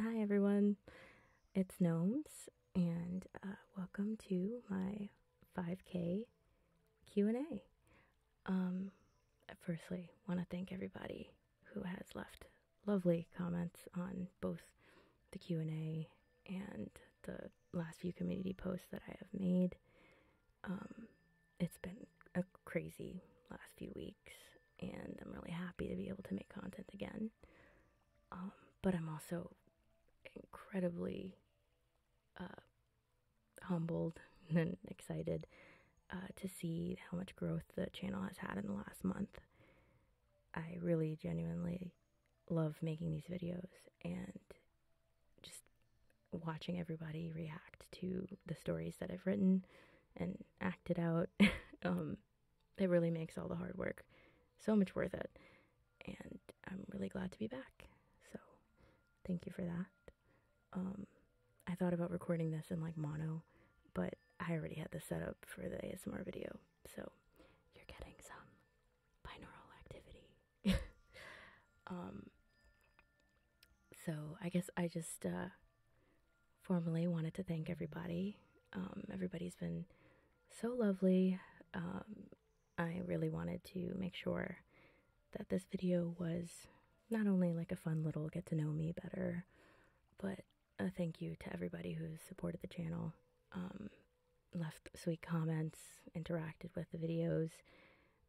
Hi, everyone. It's Gnomes, and uh, welcome to my 5K Q&A. Um, firstly, want to thank everybody who has left lovely comments on both the Q&A and the last few community posts that I have made. Um, it's been a crazy last few weeks, and I'm really happy to be able to make content again. Um, but I'm also incredibly uh, humbled and excited uh, to see how much growth the channel has had in the last month. I really genuinely love making these videos, and just watching everybody react to the stories that I've written and acted out. Um, it really makes all the hard work so much worth it. And I'm really glad to be back. So thank you for that. Um, I thought about recording this in like mono, but I already had the setup for the ASMR video. So you're getting some binaural activity. um, so I guess I just uh, formally wanted to thank everybody. Um, everybody's been so lovely. Um, I really wanted to make sure that this video was not only like a fun little get to know me better, but a thank you to everybody who's supported the channel, um, left sweet comments, interacted with the videos.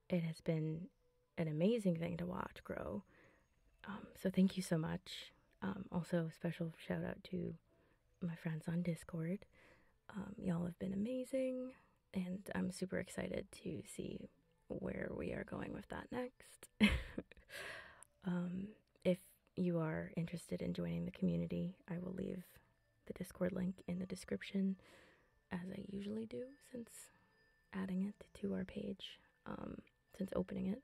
It has been an amazing thing to watch grow. Um, so thank you so much. Um, also, special shout out to my friends on Discord. Um, y'all have been amazing, and I'm super excited to see where we are going with that next. Um, if you are interested in joining the community, I will leave the Discord link in the description as I usually do since adding it to our page, um, since opening it.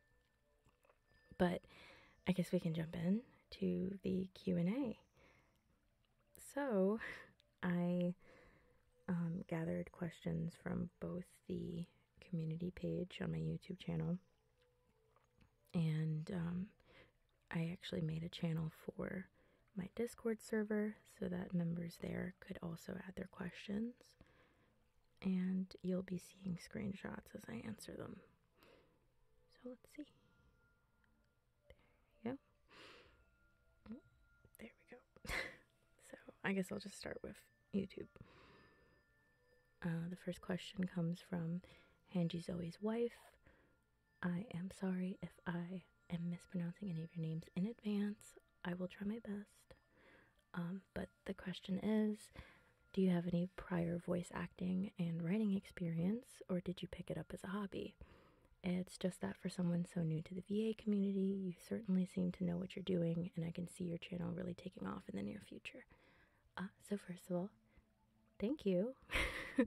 But I guess we can jump in to the Q&A. So, I um, gathered questions from both the community page on my YouTube channel and um, I actually made a channel for my Discord server so that members there could also add their questions. And you'll be seeing screenshots as I answer them. So let's see. There we go. There we go. so I guess I'll just start with YouTube. Uh, the first question comes from Hanji Zoe's wife. I am sorry if I am mispronouncing any of your names in advance. I will try my best. Um, but the question is do you have any prior voice acting and writing experience, or did you pick it up as a hobby? It's just that for someone so new to the VA community, you certainly seem to know what you're doing, and I can see your channel really taking off in the near future. Uh, so, first of all, thank you.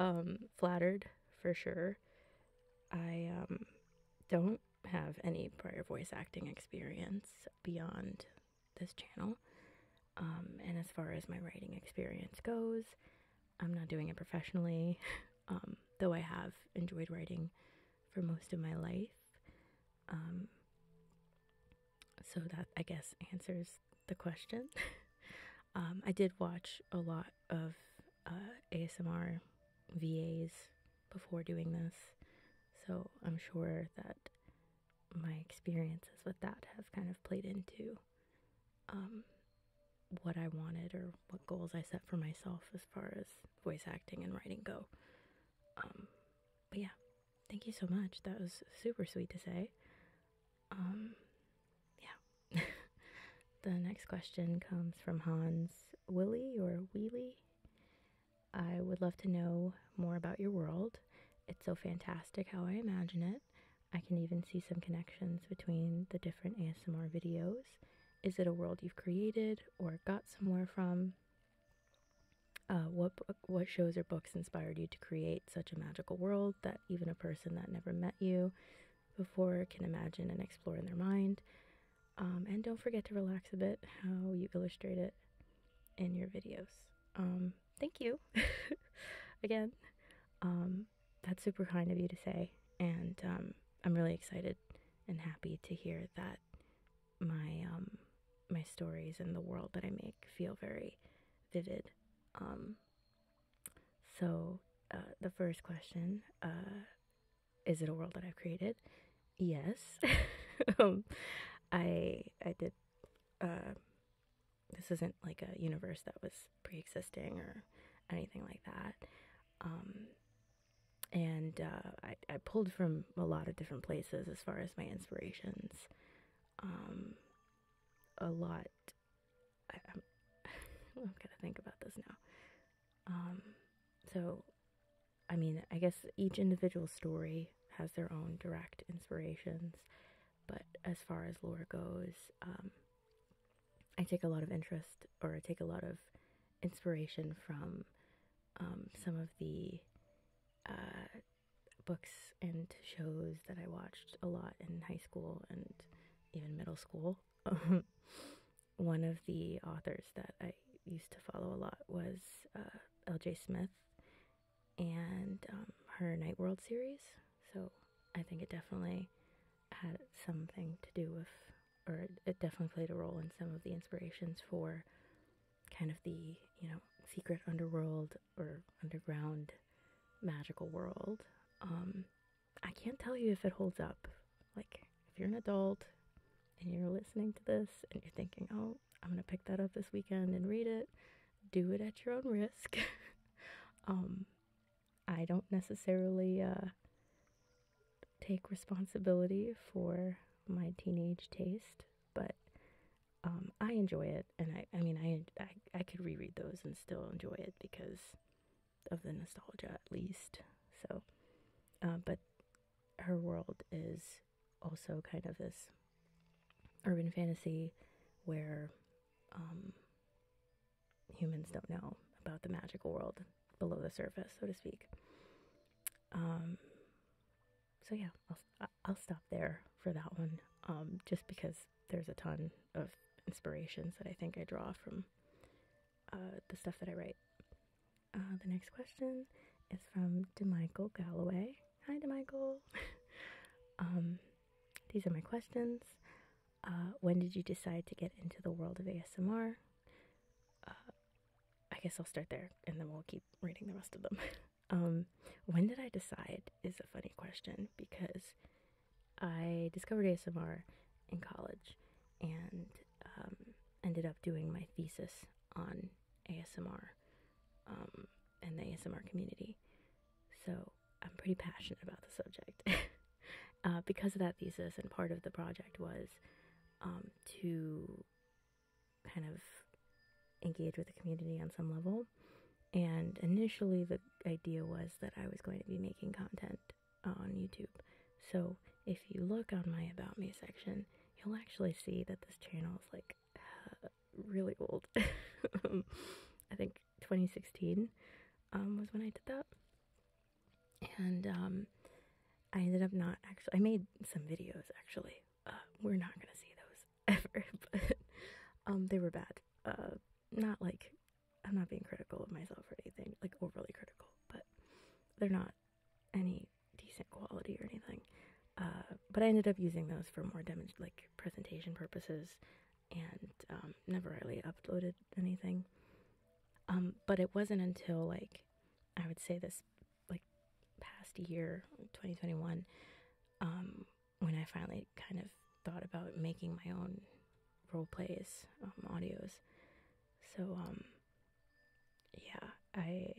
Um, flattered for sure. I um, don't have any prior voice acting experience beyond this channel. Um, and as far as my writing experience goes, I'm not doing it professionally, um, though I have enjoyed writing for most of my life. Um, so that, I guess, answers the question. I did watch a lot of uh, ASMR VAs before doing this, so I'm sure that my experiences with that has kind of played into um, what I wanted or what goals I set for myself as far as voice acting and writing go. Um, but yeah, thank you so much. That was super sweet to say. Um, yeah. The next question comes from Hans Willy or Wheelie. I would love to know more about your world. It's so fantastic how I imagine it. I can even see some connections between the different ASMR videos. Is it a world you've created or got somewhere from? Uh, what what shows or books inspired you to create such a magical world that even a person that never met you before can imagine and explore in their mind? Um, and don't forget to relax a bit how you illustrate it in your videos. Um, thank you again. Um, that's super kind of you to say, and I'm really excited and happy to hear that my my stories and the world that I make feel very vivid. so uh, the first question uh, is it a world that I've created? Yes. Um, I I did. Uh, this isn't like a universe that was pre-existing or anything like that. Um, and uh, I, I pulled from a lot of different places as far as my inspirations. Um, a lot. I'm gonna think about this now. Um, so, I mean, I guess each individual story has their own direct inspirations, but as far as lore goes, um, I take a lot of interest or I take a lot of inspiration from um, some of the uh, books and shows that I watched a lot in high school and even middle school. one of the authors that I used to follow a lot was uh, L.J. Smith and um, her Night World series. So I think it definitely had something to do with, or it definitely played a role in some of the inspirations for kind of the, you know, secret underworld or underground magical world. Um, I can't tell you if it holds up. Like, if you're an adult and you're listening to this and you're thinking, oh, I'm going to pick that up this weekend and read it, do it at your own risk. um, I don't necessarily uh, take responsibility for my teenage taste, but um, I enjoy it. And I, I mean, I, I, I could reread those and still enjoy it because of the nostalgia at least. So, um, but her world is also kind of this urban fantasy where um, humans don't know about the magical world below the surface, so to speak. Um, so yeah, I'll, I'll stop there for that one, um, just because there's a ton of inspirations that I think I draw from uh, the stuff that I write. Uh, the next question is from DeMichael Galloway. Hi, DeMichael. Um, these are my questions. Uh, when did you decide to get into the world of ASMR? Uh, I guess I'll start there and then we'll keep reading the rest of them. Um, when did I decide is a funny question because I discovered ASMR in college and um, ended up doing my thesis on ASMR um, and the ASMR community. So I'm pretty passionate about the subject. Uh, because of that thesis, and part of the project was um, to kind of engage with the community on some level. And initially, the idea was that I was going to be making content on YouTube. So if you look on my About Me section, you'll actually see that this channel is like uh, really old. I think 2016 um, was when I did that. And um, I ended up not actually, I made some videos actually. Uh, we're not going to see those ever, but um, they were bad. Uh, not like, I'm not being critical of myself or anything, like overly critical, but they're not any decent quality or anything. Uh, but I ended up using those for more damage, like presentation purposes, and um, never really uploaded anything. Um, but it wasn't until like I would say this like past year, 2021, um, when I finally kind of thought about making my own role plays, audios. So yeah, I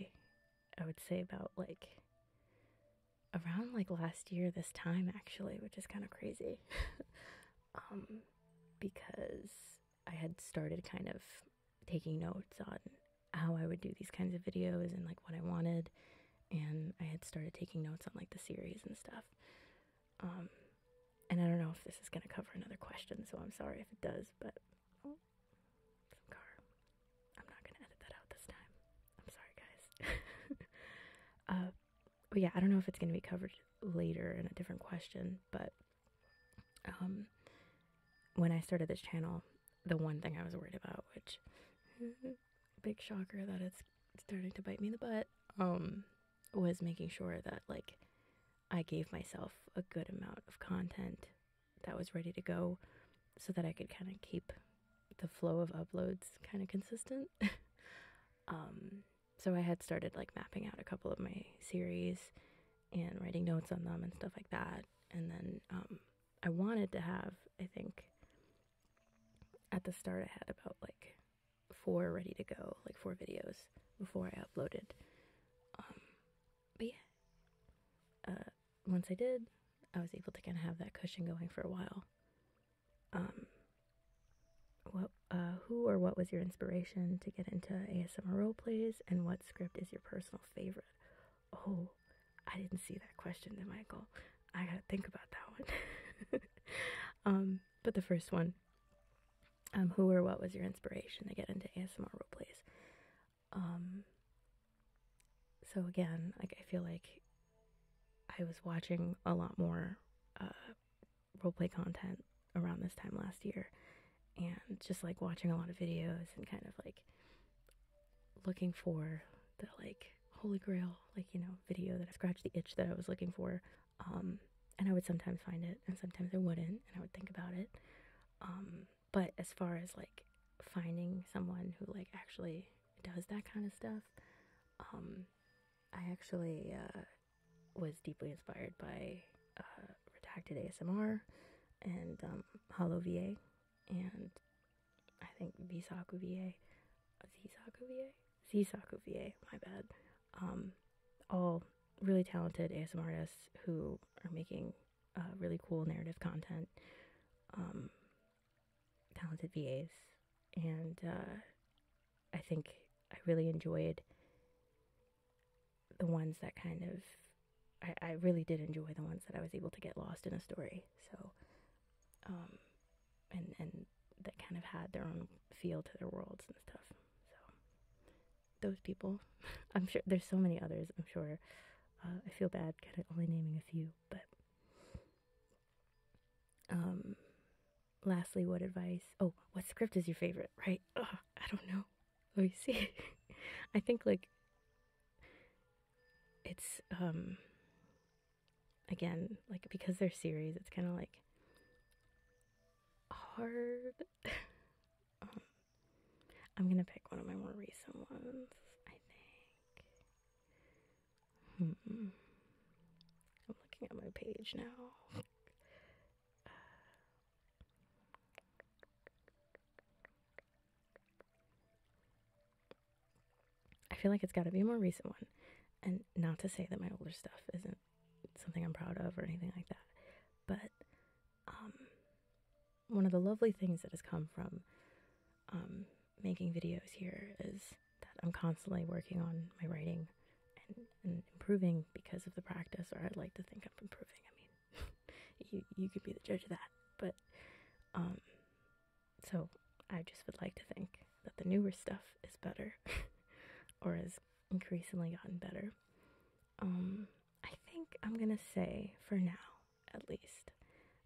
I would say about like around like last year this time actually, which is kind of crazy. Um, because I had started kind of taking notes on how I would do these kinds of videos and like what I wanted and I had started taking notes on like the series and stuff. Um, and I don't know if this is going to cover another question, so I'm sorry if it does, but car. I'm not going to edit that out this time. I'm sorry, guys. Uh, but yeah, I don't know if it's going to be covered later in a different question, but um, when I started this channel, the one thing I was worried about, which big shocker that it's starting to bite me in the butt, um, was making sure that like I gave myself a good amount of content that was ready to go so that I could kind of keep the flow of uploads kind of consistent. Um, so I had started like mapping out a couple of my series and writing notes on them and stuff like that. And then um, I wanted to have, I think, at the start, I had about like four ready to go, like four videos before I uploaded. Um, but yeah, uh, once I did, I was able to kind of have that cushion going for a while. Um, what, uh, who or what was your inspiration to get into ASMR role plays, and what script is your personal favorite? Oh, I didn't see that question, did Michael? I gotta think about that one. um, but the first one um, who or what was your inspiration to get into ASMR roleplays? Um, so again, like I feel like I was watching a lot more uh, roleplay content around this time last year, and just like watching a lot of videos and kind of like looking for the like holy grail, like you know, video that I scratched the itch that I was looking for. Um, and I would sometimes find it, and sometimes I wouldn't, and I would think about it. Um, but as far as like finding someone who like actually does that kind of stuff, um, I actually uh, was deeply inspired by uh, Redacted ASMR and um, Hollow VA and I think Visaku VA, Zisaku VA, Zisaku VA, my bad. Um, all really talented ASM artists who are making uh, really cool narrative content, um, talented VAs, and uh, I think I really enjoyed the ones that kind of. I, really did enjoy the ones that I was able to get lost in a story. So, um, and and that kind of had their own feel to their worlds and stuff. So, those people. I'm sure there's so many others, I'm sure. Uh, I feel bad kind of only naming a few, but um lastly, what advice? Oh, what script is your favorite, right? I don't know. Let me see. I think like it's um again, like because they're series, it's kind of like hard um, I'm gonna pick one of my more recent ones, I think. Hmm. I'm looking at my page now. I feel like it's got to be a more recent one. And not to say that my older stuff isn't something I'm proud of or anything like that, but um, one of the lovely things that has come from um, making videos here is that I'm constantly working on my writing and, improving because of the practice, or I'd like to think I'm improving. I mean, you, you could be the judge of that. But um, so I just would like to think that the newer stuff is better or is increasingly gotten better. I think I'm going to say, for now at least,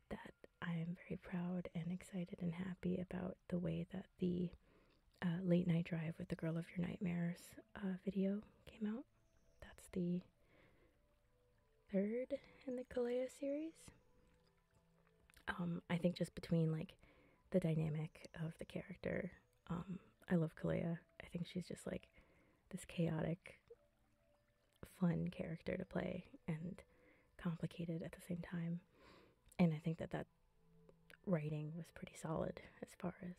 that I am very proud and excited and happy about the way that the uh, Late Night Drive with the Girl of Your Nightmares uh, video came out. That's the third in the Kalea series. Um, I think just between like the dynamic of the character um, I love Kalea. I think she's just like this chaotic, fun character to play and complicated at the same time. And I think that that writing was pretty solid as far as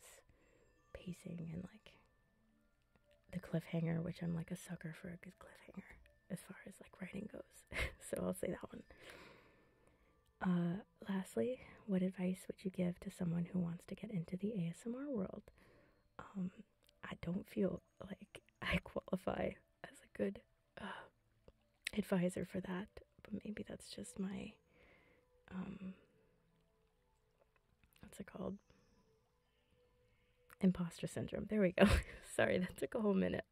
pacing and like the cliffhanger, which I'm like a sucker for a good cliffhanger as far as like writing goes. so I'll say that one. Uh, lastly, what advice would you give to someone who wants to get into the ASMR world? Um, I don't feel like I qualify as a good uh, advisor for that, but maybe that's just my um, what's it called? Imposter syndrome. There we go. Sorry, that took a whole minute.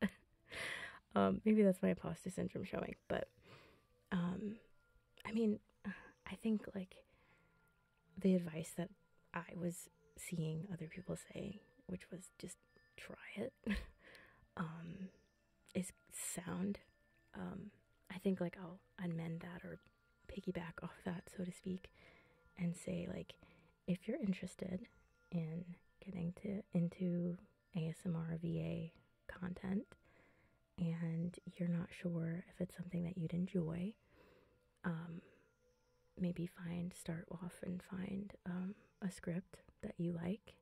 um, maybe that's my imposter syndrome showing, but um, I mean, I think like the advice that I was seeing other people say, which was just try it, is um, sound. Um, I think like I'll amend that or piggyback off that, so to speak, and say like, if you're interested in getting to into ASMR VA content, and you're not sure if it's something that you'd enjoy, um, maybe find start off and find um, a script that you like.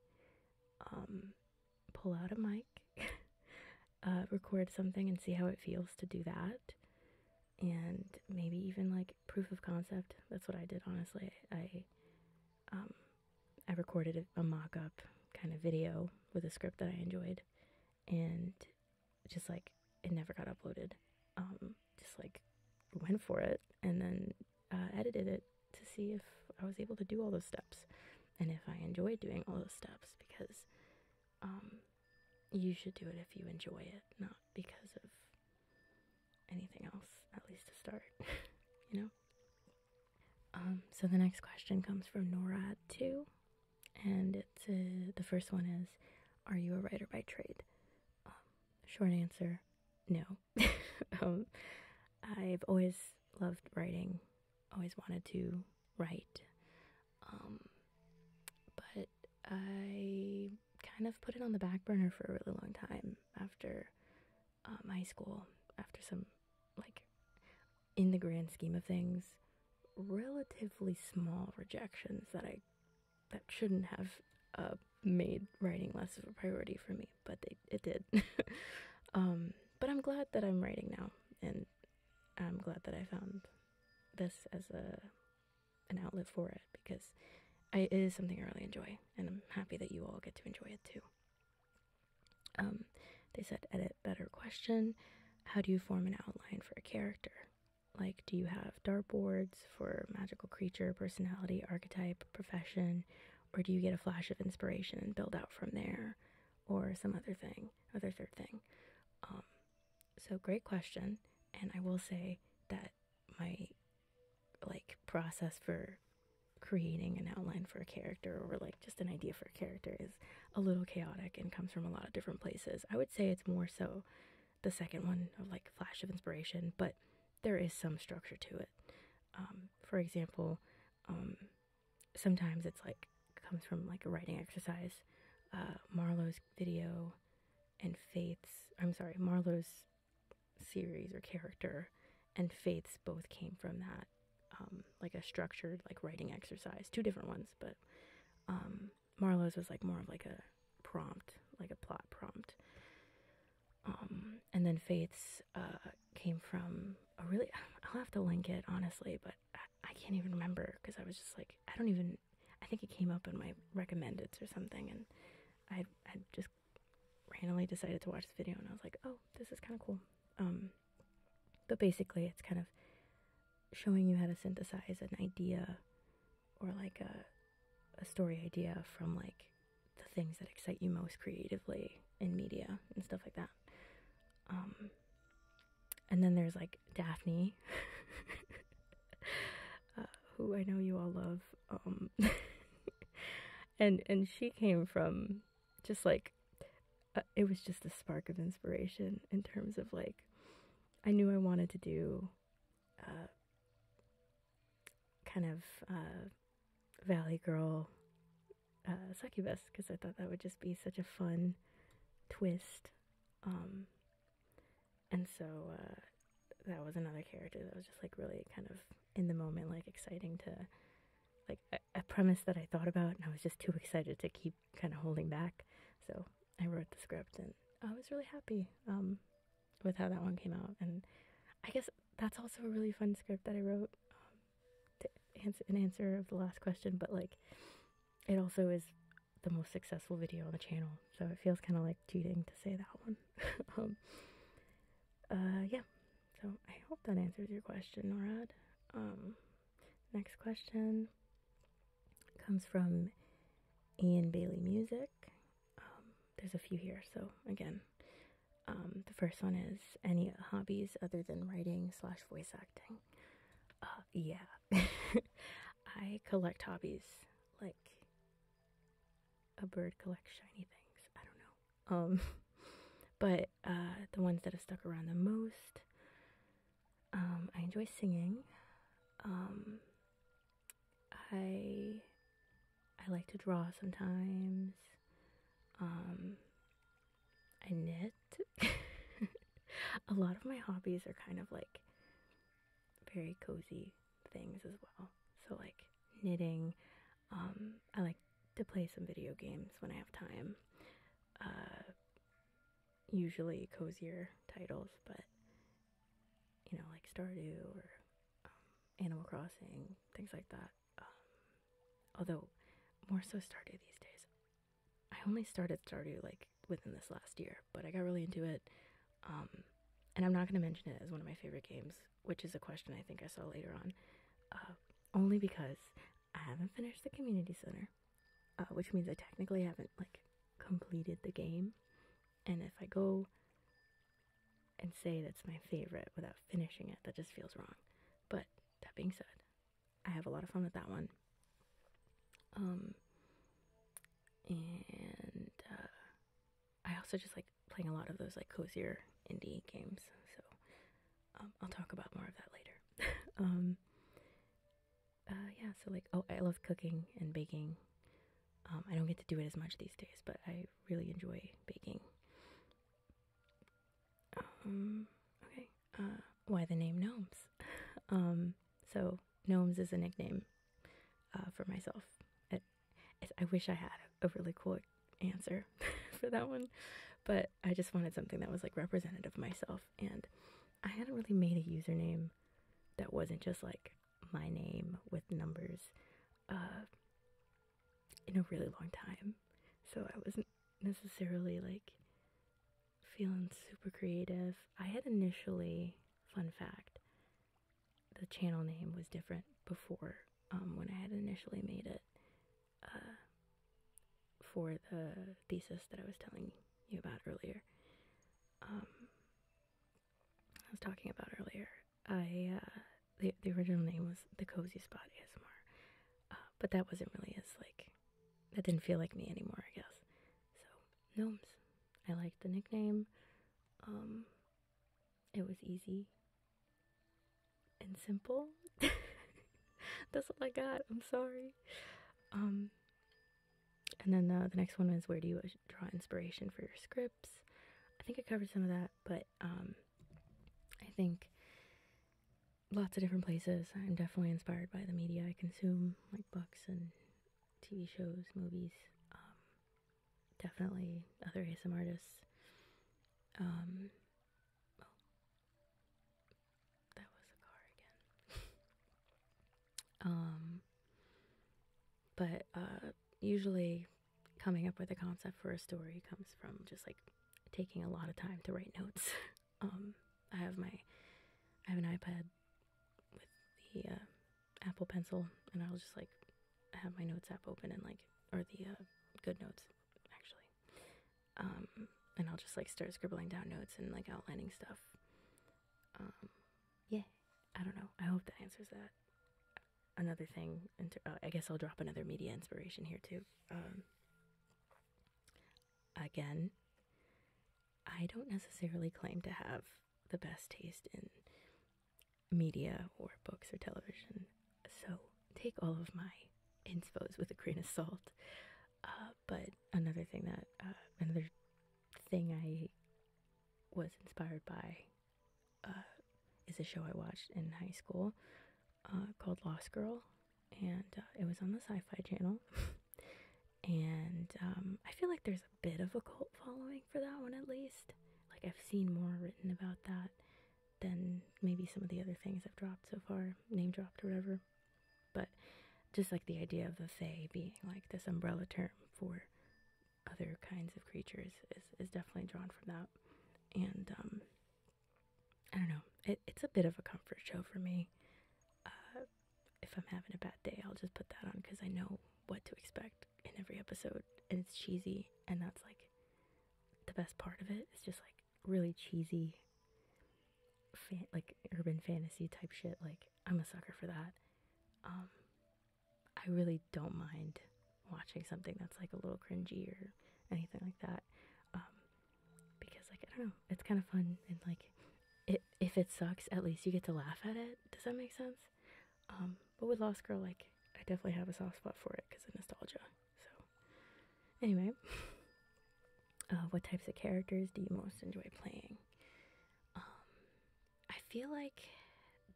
Um, pull out a mic, uh, record something, and see how it feels to do that. And maybe even like proof of concept. That's what I did. Honestly, I I recorded a mock-up kind of video with a script that I enjoyed, and just like it never got uploaded. Um, just like went for it and then uh, edited it to see if I was able to do all those steps and if I enjoyed doing all those steps because um, you should do it if you enjoy it, not because of anything else, at least to start, you know? Um, so the next question comes from norad too and it's the first one is are you a writer by trade um, short answer no um, i've always loved writing always wanted to write um, but i kind of put it on the back burner for a really long time after high school after some like in the grand scheme of things, relatively small rejections that I that shouldn't have uh, made writing less of a priority for me, but it did. Um, but I'm glad that I'm writing now, and I'm glad that I found this as a an outlet for it because it is something I really enjoy, and I'm happy that you all get to enjoy it too. Um, they said, edit better question. How do you form an outline for a character? Like, do you have dartboards for magical creature, personality, archetype, profession, or do you get a flash of inspiration and build out from there, or some other thing, other third thing? Um, so, great question. And I will say that my like process for creating an outline for a character or like just an idea for a character is a little chaotic and comes from a lot of different places. I would say it's more so the second one of like flash of inspiration, but there is some structure to it. Um, for example, um, sometimes it's like comes from like a writing exercise. Uh, Marlowe's video and Faith's, I'm sorry, Marlowe's series or character and Faith's both came from that, um, like a structured like writing exercise. Two different ones, but um, Marlowe's was like more of like a prompt, like a plot prompt. Um, and then Faith's uh, came from a really, I'll have to link it honestly, but I, can't even remember because I was just like, I don't even, I think it came up in my recommendeds or something. And I, I just randomly decided to watch the video and I was like, oh, this is kind of cool. Um, but basically, it's kind of showing you how to synthesize an idea or like a story idea from like the things that excite you most creatively in media and stuff like that. Um, and then there's like Daphne, uh, who I know you all love, um, and and she came from just like uh, it was just a spark of inspiration in terms of like I knew I wanted to do uh, kind of uh, Valley Girl succubus because I thought that would just be such a fun twist. Um, and so that was another character that was just like really kind of in the moment, like exciting to like a premise that I thought about, and I was just too excited to keep kind of holding back. So I wrote the script, and I was really happy um, with how that one came out. And I guess that's also a really fun script that I wrote um, to answer an answer of the last question. But like, it also is the most successful video on the channel, so it feels kind of like cheating to say that one. Um, uh, yeah. So I hope that answers your question, Norad. next question comes from Ian Bailey Music. Um, there's a few here, so again, um, the first one is any hobbies other than writing slash voice acting. Uh, yeah, I collect hobbies like a bird collects shiny things. I don't know. Um, but uh, the ones that have stuck around the most um, I enjoy singing. Um, I I like to draw sometimes. Um, I knit. a lot of my hobbies are kind of like very cozy things as well. So like knitting. I like to play some video games when I have time. Uh, usually cozier titles, but you know, like Stardew or um, Animal Crossing, things like that. Um, although, more so Stardew these days. I only started Stardew like within this last year, but I got really into it. Um, and I'm not going to mention it as one of my favorite games, which is a question I think I saw later on, uh, only because I haven't finished the community center uh, which means I technically haven't like completed the game. And if I go and say that's my favorite without finishing it, that just feels wrong. But that being said, I have a lot of fun with that one. Um, and uh, I also just like playing a lot of those like cozier indie games. So um, I'll talk about more of that later. Um, uh, yeah, so like, oh, I love cooking and baking. Um, I don't get to do it as much these days, but I really enjoy baking. Um, okay. Uh, why the name Gnomes? Um, so, Gnomes is a nickname uh, for myself. I wish I had a really cool answer for that one, but I just wanted something that was like representative of myself and I hadn't really made a username that wasn't just like my name with numbers uh, in a really long time. So I wasn't necessarily like feeling super creative. I had initially, fun fact, the channel name was different before um, when I had initially made it uh, for the thesis that I was telling you about earlier. Um, I was talking about earlier. I uh, the the original name was the Cozy Spot ASMR, uh, but that wasn't really as like that didn't feel like me anymore. I guess so. Gnomes. I liked the nickname. Um, it was easy and simple. That's all I got. I'm sorry. Um, and then the, next one was where do you draw inspiration for your scripts? I think I covered some of that, but um, I think lots of different places. I'm definitely inspired by the media I consume, like books and TV shows, movies, um, definitely other ASMR artists. Um, that was a car again. um, but uh, usually, coming up with a concept for a story comes from just like taking a lot of time to write notes. um, I have my, I have an iPad with the uh, Apple Pencil, and I'll just like have my notes app open and like, or the uh, Good Notes actually. Um, and I'll just like start scribbling down notes and like outlining stuff. Um, yeah, I don't know. I hope that answers that. Another thing, oh, I guess I'll drop another media inspiration here too. Um, again, I don't necessarily claim to have the best taste in media or books or television, so take all of my infos with a grain of salt. Um, but another thing that uh, another thing I was inspired by uh, is a show I watched in high school uh, called Lost Girl, and it was on the Sci-Fi Channel. and um, I feel like there's a bit of a cult following for that one at least. Like I've seen more written about that than maybe some of the other things I've dropped so far, name dropped or whatever but just like the idea of the Fae being like this umbrella term for other kinds of creatures is, definitely drawn from that. And um, I don't know, it's a bit of a comfort show for me. Uh, if I'm having a bad day, I'll just put that on because I know what to expect in every episode, and it's cheesy, and that's like the best part of it. It's just like really cheesy, like urban fantasy type shit. Like I'm a sucker for that. Um, I really don't mind watching something that's like a little cringy or anything like that, um, because like I don't know, it's kind of fun and like it if it sucks, at least you get to laugh at it. Does that make sense? Um, but with Lost Girl, like I definitely have a soft spot for it because of nostalgia. So anyway, uh, what types of characters do you most enjoy playing? Um, I feel like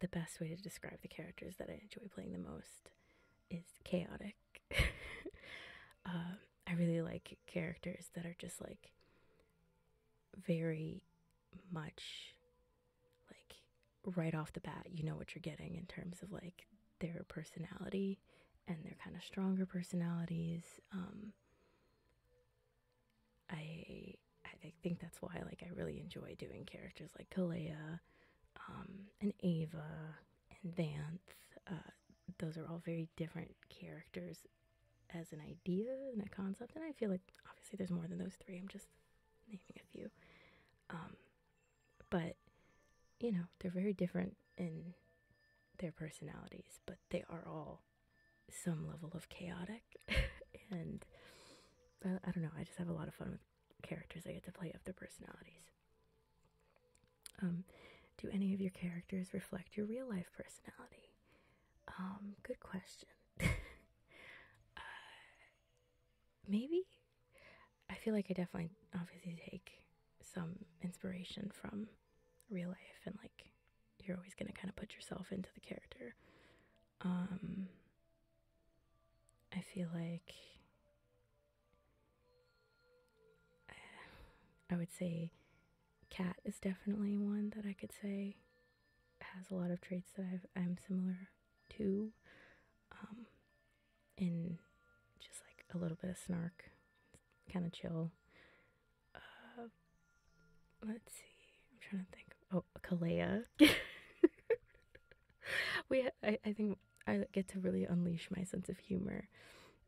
the best way to describe the characters that I enjoy playing the most is chaotic. Um, I really like characters that are just like very much like right off the bat, you know what you're getting in terms of like their personality and their kind of stronger personalities. Um, I I think that's why like I really enjoy doing characters like Kalea, um, and Ava and Vanth. Uh, those are all very different characters as an idea and a concept, and I feel like obviously there's more than those three. I'm just naming a few, um, but you know they're very different in their personalities, but they are all some level of chaotic and uh, I, don't know i just have a lot of fun with characters i get to play up their personalities um, do any of your characters reflect your real life personality um, good question uh, maybe i feel like i definitely obviously take some inspiration from real life and like you're always going to kind of put yourself into the character. Um I feel like I would say Cat is definitely one that I could say has a lot of traits that i am similar to, um, in just like a little bit of snark, kind of chill, uh, let's see. I'm trying to think. Oh, Kalea. we, I, I think I get to really unleash my sense of humor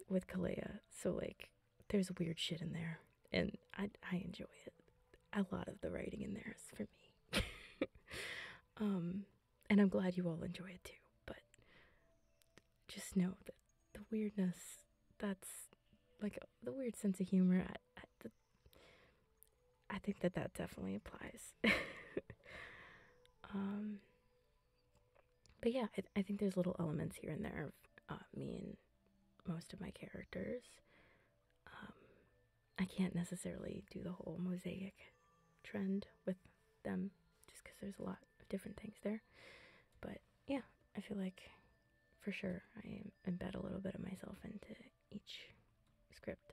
with Kalea. So like, there's weird shit in there, and I I enjoy it. A lot of the writing in there is for me. um, and I'm glad you all enjoy it too. But just know that the weirdness that's like the weird sense of humor. I, think that that definitely applies. Um, but yeah, I, think there's little elements here and there of uh, me and most of my characters. Um, I can't necessarily do the whole mosaic trend with them just because there's a lot of different things there. But yeah, I feel like for sure I embed a little bit of myself into each script.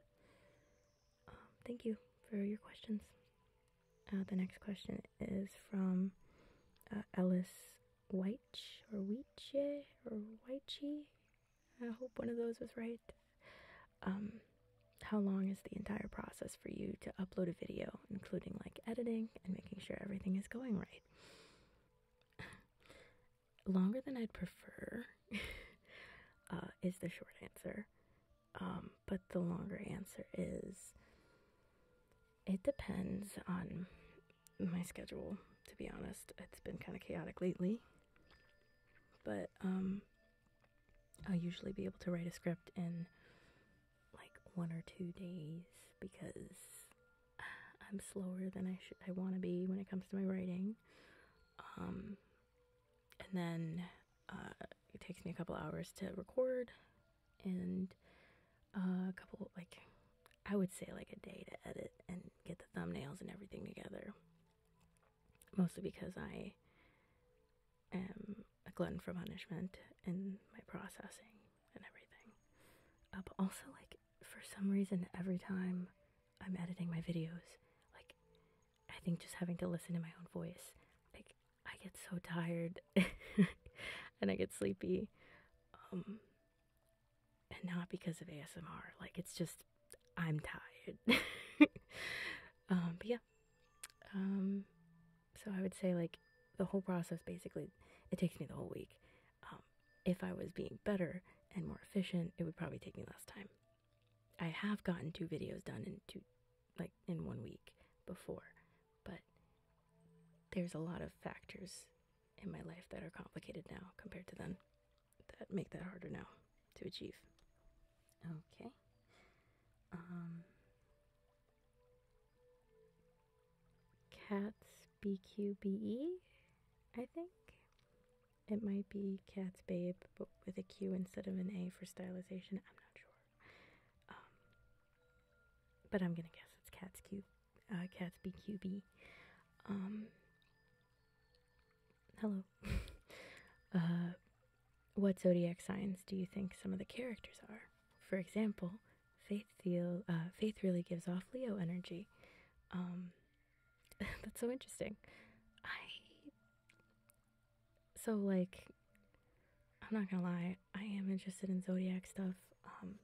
Um, thank you for your questions. Uh, the next question is from uh, Ellis Weich or Weiche or Weiche. I hope one of those was right. Um, how long is the entire process for you to upload a video, including like editing and making sure everything is going right? Longer than I'd prefer uh, is the short answer. Um, but the longer answer is it depends on my schedule, to be honest. It's been kind of chaotic lately. But um, I'll usually be able to write a script in like one or two days because I'm slower than I should I want to be when it comes to my writing. Um, and then uh, it takes me a couple hours to record and uh, a couple like I would say like a day to edit and get the thumbnails and everything together. Mostly because I am a glutton for punishment in my processing and everything. but also like for some reason, every time I'm editing my videos, like, I think just having to listen to my own voice, like, I get so tired and I get sleepy. Um, and not because of ASMR, like, it's just, I'm tired. um, but yeah. Um, so I would say, like, the whole process basically, it takes me the whole week. Um, if I was being better and more efficient, it would probably take me less time. I have gotten two videos done in two, like in one week before, but there's a lot of factors in my life that are complicated now compared to then that make that harder now to achieve. Okay. Um Cats BQBE, I think. It might be Cats Babe, but with a Q instead of an A for stylization. I'm not sure. Um, but I'm gonna guess it's Cats Q, uh, Cats bqbe. Um, hello. Uh, what zodiac signs do you think some of the characters are? For example, Faith feel uh, Faith really gives off Leo energy. Um, that's so interesting. I so like I'm not gonna lie. I am interested in zodiac stuff. Um,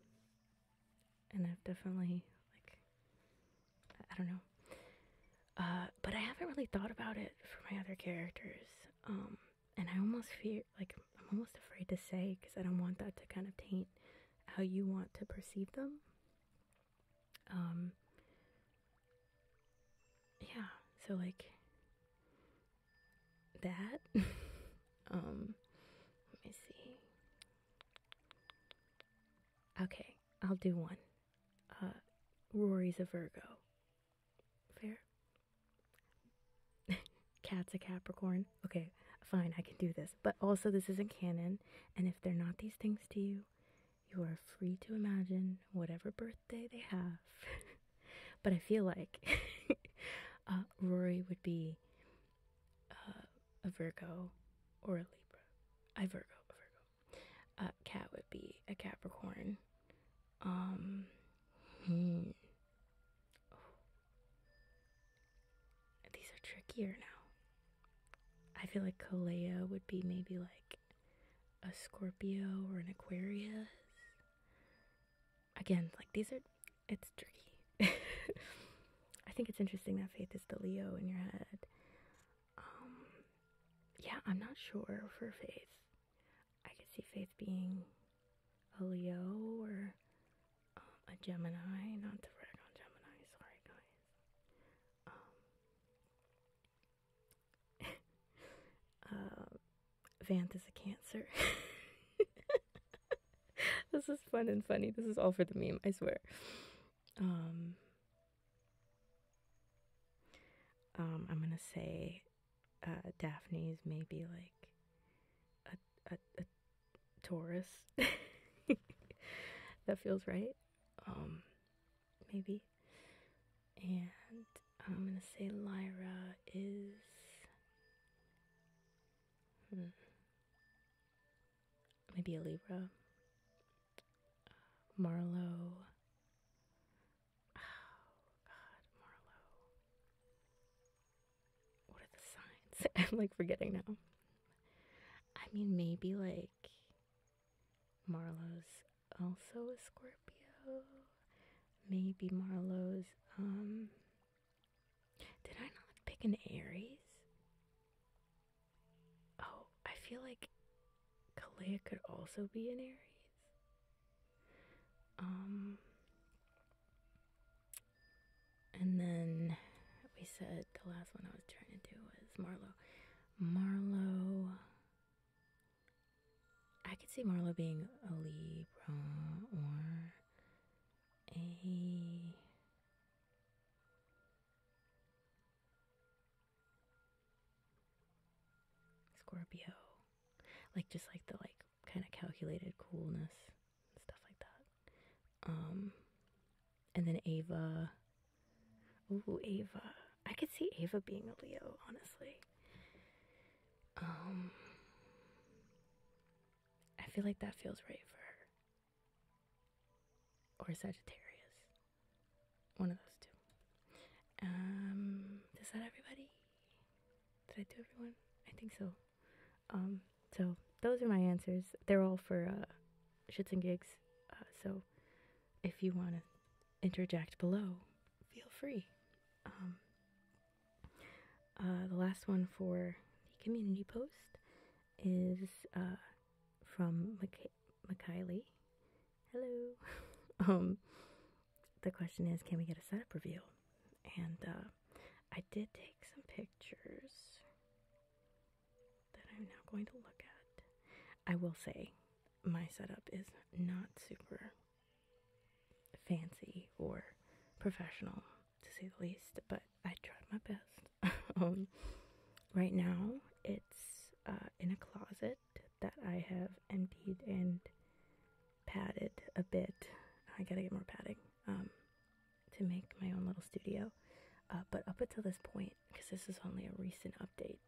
and I've definitely like I don't know. Uh, but I haven't really thought about it for my other characters. Um, and I almost fear like I'm almost afraid to say because I don't want that to kind of taint how you want to perceive them. Um, yeah, so like that. um, let me see. Okay, I'll do one. Uh, Rory's a Virgo. Fair? Cat's a Capricorn. Okay, fine, I can do this. But also, this isn't canon. And if they're not these things to you, you are free to imagine whatever birthday they have. but I feel like uh, Rory would be uh, a Virgo or a Libra. I Virgo, a Virgo. Uh, Cat would be a Capricorn. Um, hmm. These are trickier now. I feel like Kalea would be maybe like a Scorpio or an Aquarius. Again, like these are, it's tricky. I think it's interesting that Faith is the Leo in your head. Um, yeah, I'm not sure for Faith. I could see Faith being a Leo or a Gemini, not to brag on Gemini, sorry guys. Um, uh, Vanth is a Cancer. this is fun and funny. This is all for the meme, I swear. Um, um, I'm gonna say uh, Daphne's maybe like a, a Taurus. that feels right. Um, maybe. And I'm gonna say Lyra is. Hmm, maybe a Libra. Uh, Oh, God, Marlowe what are the signs? I'm like forgetting now. I mean, maybe like Marlowe's also a Scorpio. Maybe Marlowe's, um, did I not pick an Aries? Oh, I feel like Kalea could also be an Aries. Um, and then we said the last one I was trying to do was Marlowe. Marlowe. I could see Marlowe being a Libra or a. Scorpio. Like, just like the, like, kind of calculated coolness stuff like that. Um, and then Ava. Oh, Ava. I could see Ava being a Leo, honestly. Um, I feel like that feels right for her. Or Sagittarius. One of those two. Um, is that everybody? Did I do everyone? I think so. Um, so those are my answers. They're all for uh, shits and gigs. Uh, so if you want to interject below, feel free. Um, uh, the last one for the community post is uh, from McKiley. Hello. um, the question is, can we get a setup review? And uh, I did take some pictures that I'm now going to look at. I will say my setup is not super fancy or professional to say the least, but I tried my best. Um, right now, it's uh, in a closet that I have emptied and padded a bit. I gotta get more padding. Um, to make my own little studio. Uh, but up until this point, because this is only a recent update,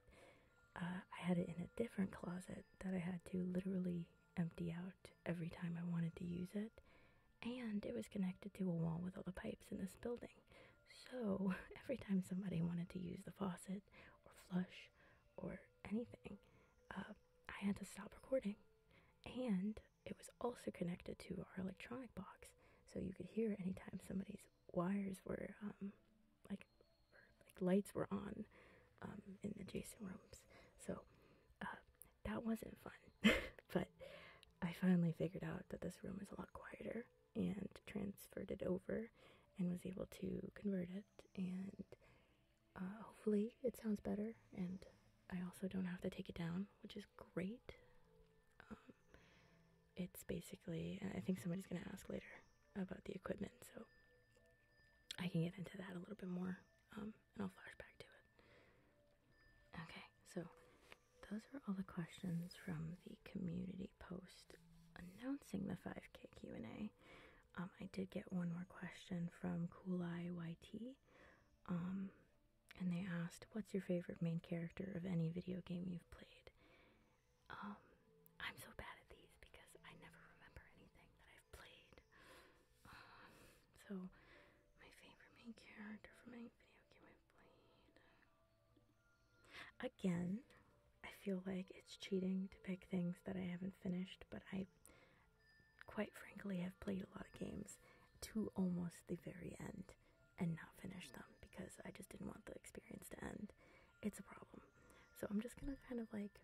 uh, I had it in a different closet that I had to literally empty out every time I wanted to use it. And it was connected to a wall with all the pipes in this building. So every time somebody wanted to use the faucet or flush or anything, uh, I had to stop recording. And it was also connected to our electronic box, so you could hear anytime somebody's wires were um, like lights were on um, in the adjacent rooms. So uh, that wasn't fun, but I finally figured out that this room was a lot quieter and transferred it over and was able to convert it and uh, hopefully it sounds better and I also don't have to take it down, which is great. Um, it's basically, I think somebody's going to ask later about the equipment, so I can get into that a little bit more um, and I'll flash back to it. Okay, so those are all the questions from the community post announcing the 5K Q&A. Um, I did get one more question from Kulai YT and they asked, What's your favorite main character of any video game you've played? Um, I'm so bad at these because I never remember anything that I've played. Um, so, my favorite main character from any video game I've played. Again, I feel like it's cheating to pick things that I haven't finished, but I, quite frankly, have played a lot of games to almost the very end and not finish them because I just didn't want the experience to end. It's a problem. So I'm just going to kind of like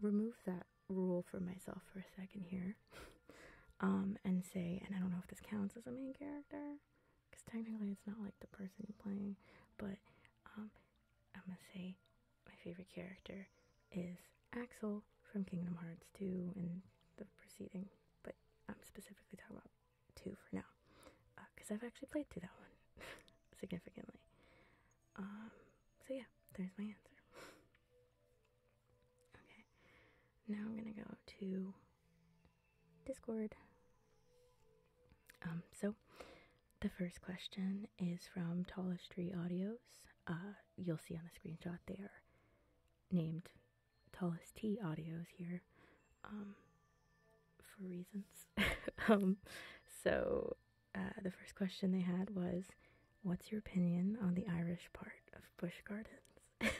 remove that rule for myself for a second here um, and say, and I don't know if this counts as a main character because technically it's not like the person you're playing, but um, I'm going to say my favorite character is Axel from Kingdom Hearts 2 and the preceding, but I'm specifically talking about 2 for now because uh, I've actually played through that one significantly. Um, so, yeah, there's my answer. okay, now I'm gonna go to Discord. Um, so the first question is from Tallest Tree Audios. Uh, you'll see on the screenshot they are named tallest T audios here, um, for reasons. Um, so uh, the first question they had was, "What's your opinion on the Irish part of Bush Gardens?"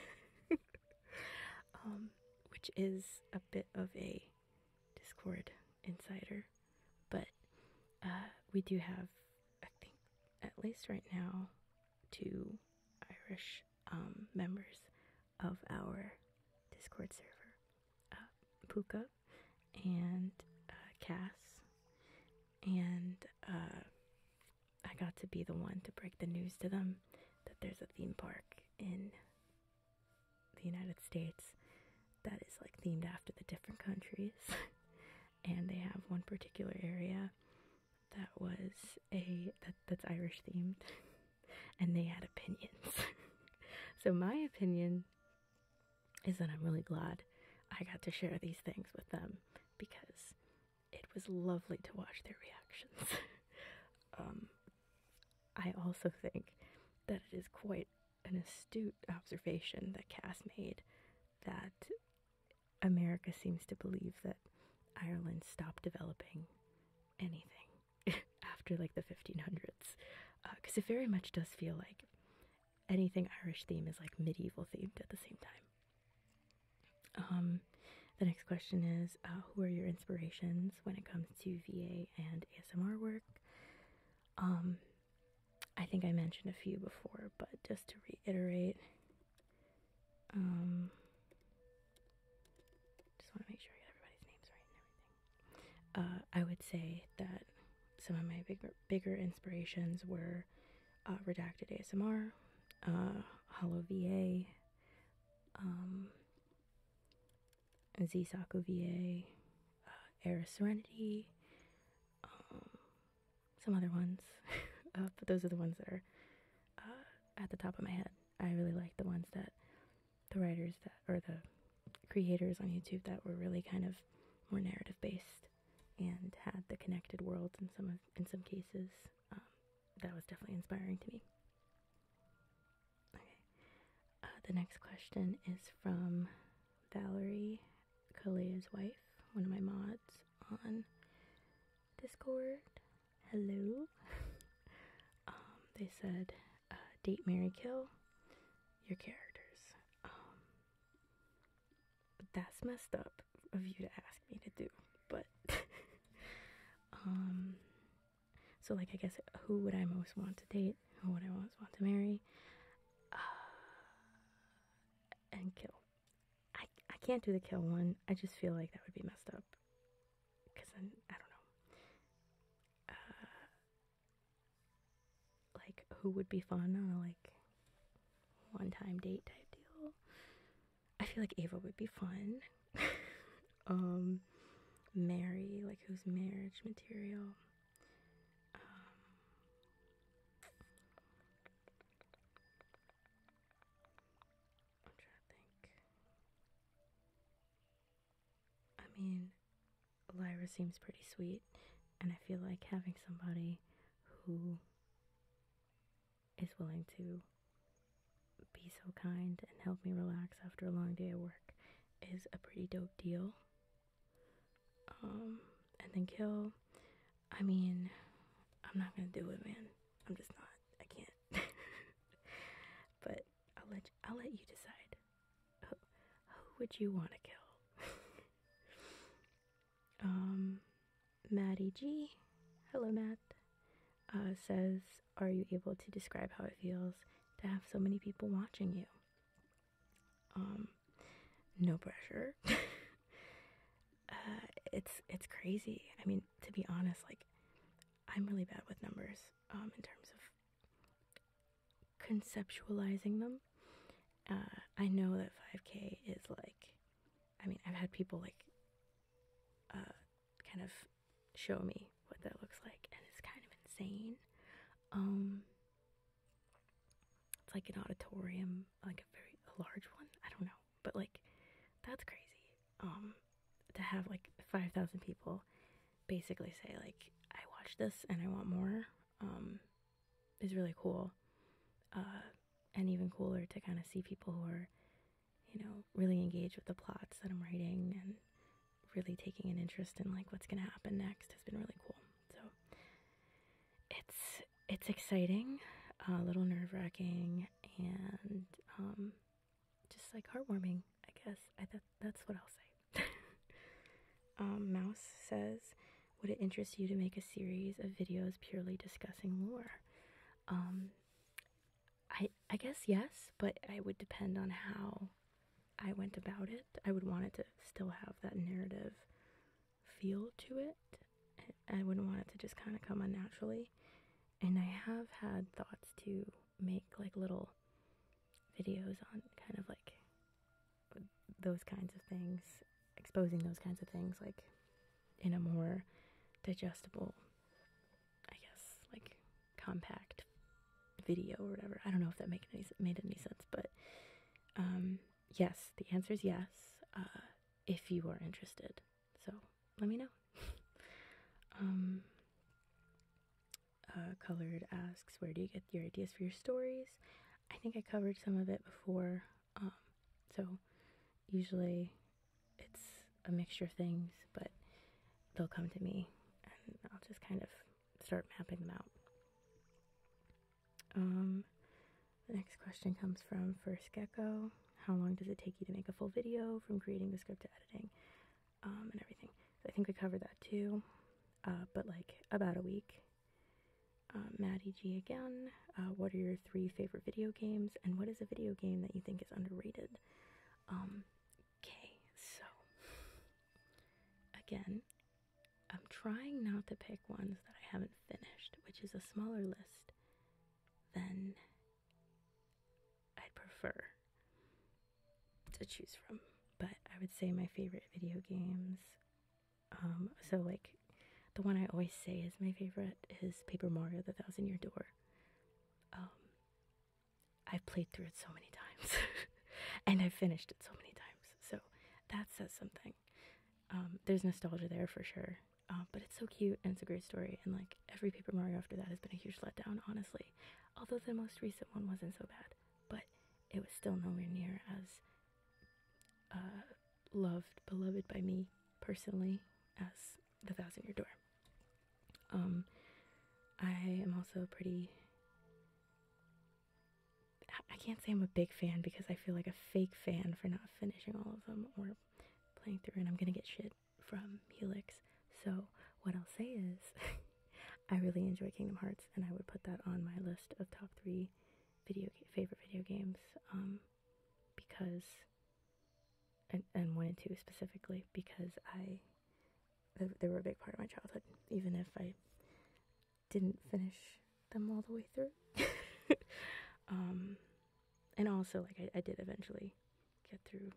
Um, which is a bit of a Discord insider, but uh, we do have, I think, at least right now, two Irish um, members of our Discord server uh, Puka and uh, Cass. And uh, I got to be the one to break the news to them that there's a theme park in the United States that is like themed after the different countries. and they have one particular area that was a that's Irish themed and they had opinions. so my opinion is that I'm really glad I got to share these things with them because it was lovely to watch their reactions. um, I also think that it is quite an astute observation that Cass made that America seems to believe that Ireland stopped developing anything after like the 1500s because uh, it very much does feel like anything Irish themed is like medieval themed at the same time. Um, the next question is uh, Who are your inspirations when it comes to VA and ASMR work? Um, I think I mentioned a few before, but just to reiterate, um, just want to make sure I get everybody's names right and everything. Uh, I would say that some of my bigger, bigger inspirations were uh, Redacted ASMR, uh, Hollow VA, um, Zisaku VA, uh, Serenity, um, some other ones, uh, but those are the ones that are uh, at the top of my head. I really like the ones that the writers that or the creators on YouTube that were really kind of more narrative based and had the connected worlds in some of in some cases. Um, that was definitely inspiring to me. Okay, uh, the next question is from Valerie Kalea's wife, one of my mods on Discord hello. Um, they said, uh, date, marry, kill your characters. Um, that's messed up of you to ask me to do. But, um, so like, I guess who would I most want to date? Who would I most want to marry? Uh, and kill. I I can't do the kill one. I just feel like that would be messed up. Cause then I don't know. Uh, like who would be fun on like one time date type deal? I feel like Ava would be fun. um, marry like who's marriage material? Um, I'm trying to think. I mean, Lyra seems pretty sweet, and I feel like having somebody who is willing to be so kind and help me relax after a long day at work is a pretty dope deal. Um, and then Kill, I mean, I'm not gonna do it, man. I'm just not. I can't. but I'll let you, I'll let you decide. Who, would you want to kill? um, Maddie G, hello Matt, uh, says, "Are you able to describe how it feels to have so many people watching you?" Um, no pressure. Uh, it's it's crazy. I mean, to be honest, like I'm really bad with numbers um, in terms of conceptualizing them. Uh, I know that 5K is like, I mean, I've had people like uh, kind of show me what that looks like, and it's kind of insane. Um, it's like an auditorium, like a very large one. I don't know but like that's crazy um to have like 5000 people basically say like i watch this and i want more um is really cool uh and even cooler to kind of see people who are you know really engaged with the plots that i'm writing and really taking an interest in like what's going to happen next has been really cool so it's it's exciting uh, a little nerve-wracking and um, just like heartwarming, I guess. that's what I'll say. Um, Mouse says, "Would it interest you to make a series of videos purely discussing lore?" Um, I I guess yes, but I would depend on how I went about it. I would want it to still have that narrative feel to it. I wouldn't want it to just kind of come unnaturally. And I have had thoughts to make like little videos on kind of like those kinds of things, exposing those kinds of things like in a more digestible, I guess, like compact video or whatever. I don't know if that made any sense, but um, yes, the answer is yes, uh, if you are interested. So let me know. Um, uh, Colored asks, where do you get your ideas for your stories? I think I covered some of it before. Um, so usually it's a mixture of things, but they'll come to me and I'll just kind of start mapping them out. Um, the next question comes from First Gecko how long does it take you to make a full video from creating the script to editing um, and everything. I think we covered that too, uh, but like about a week. Uh, Maddie G again. Uh, what are your three favorite video games? And what is a video game that you think is underrated? okay, um, so again, I'm trying not to pick ones that I haven't finished, which is a smaller list than I'd prefer to choose from. But I would say my favorite video games. Um, so, like, the one I always say is my favorite is Paper Mario The Thousand Year Door. Um, I've played through it so many times, and I've finished it so many times. So, that says something. Um, there's nostalgia there for sure. Uh, but it's so cute and it's a great story. And like every Paper Mario after that has been a huge letdown, honestly. Although the most recent one wasn't so bad, but it was still nowhere near as uh, loved, beloved by me personally as The Thousand Year Door. Um, I am also pretty. I can't say I'm a big fan because I feel like a fake fan for not finishing all of them or playing through, and I'm gonna get shit from Helix. So, what I'll say is, I really enjoy Kingdom Hearts, and I would put that on my list of top three video favorite video games um, because, and, and one and two specifically, because I they were a big part of my childhood, even if I didn't finish them all the way through. um, and also like I, did eventually get through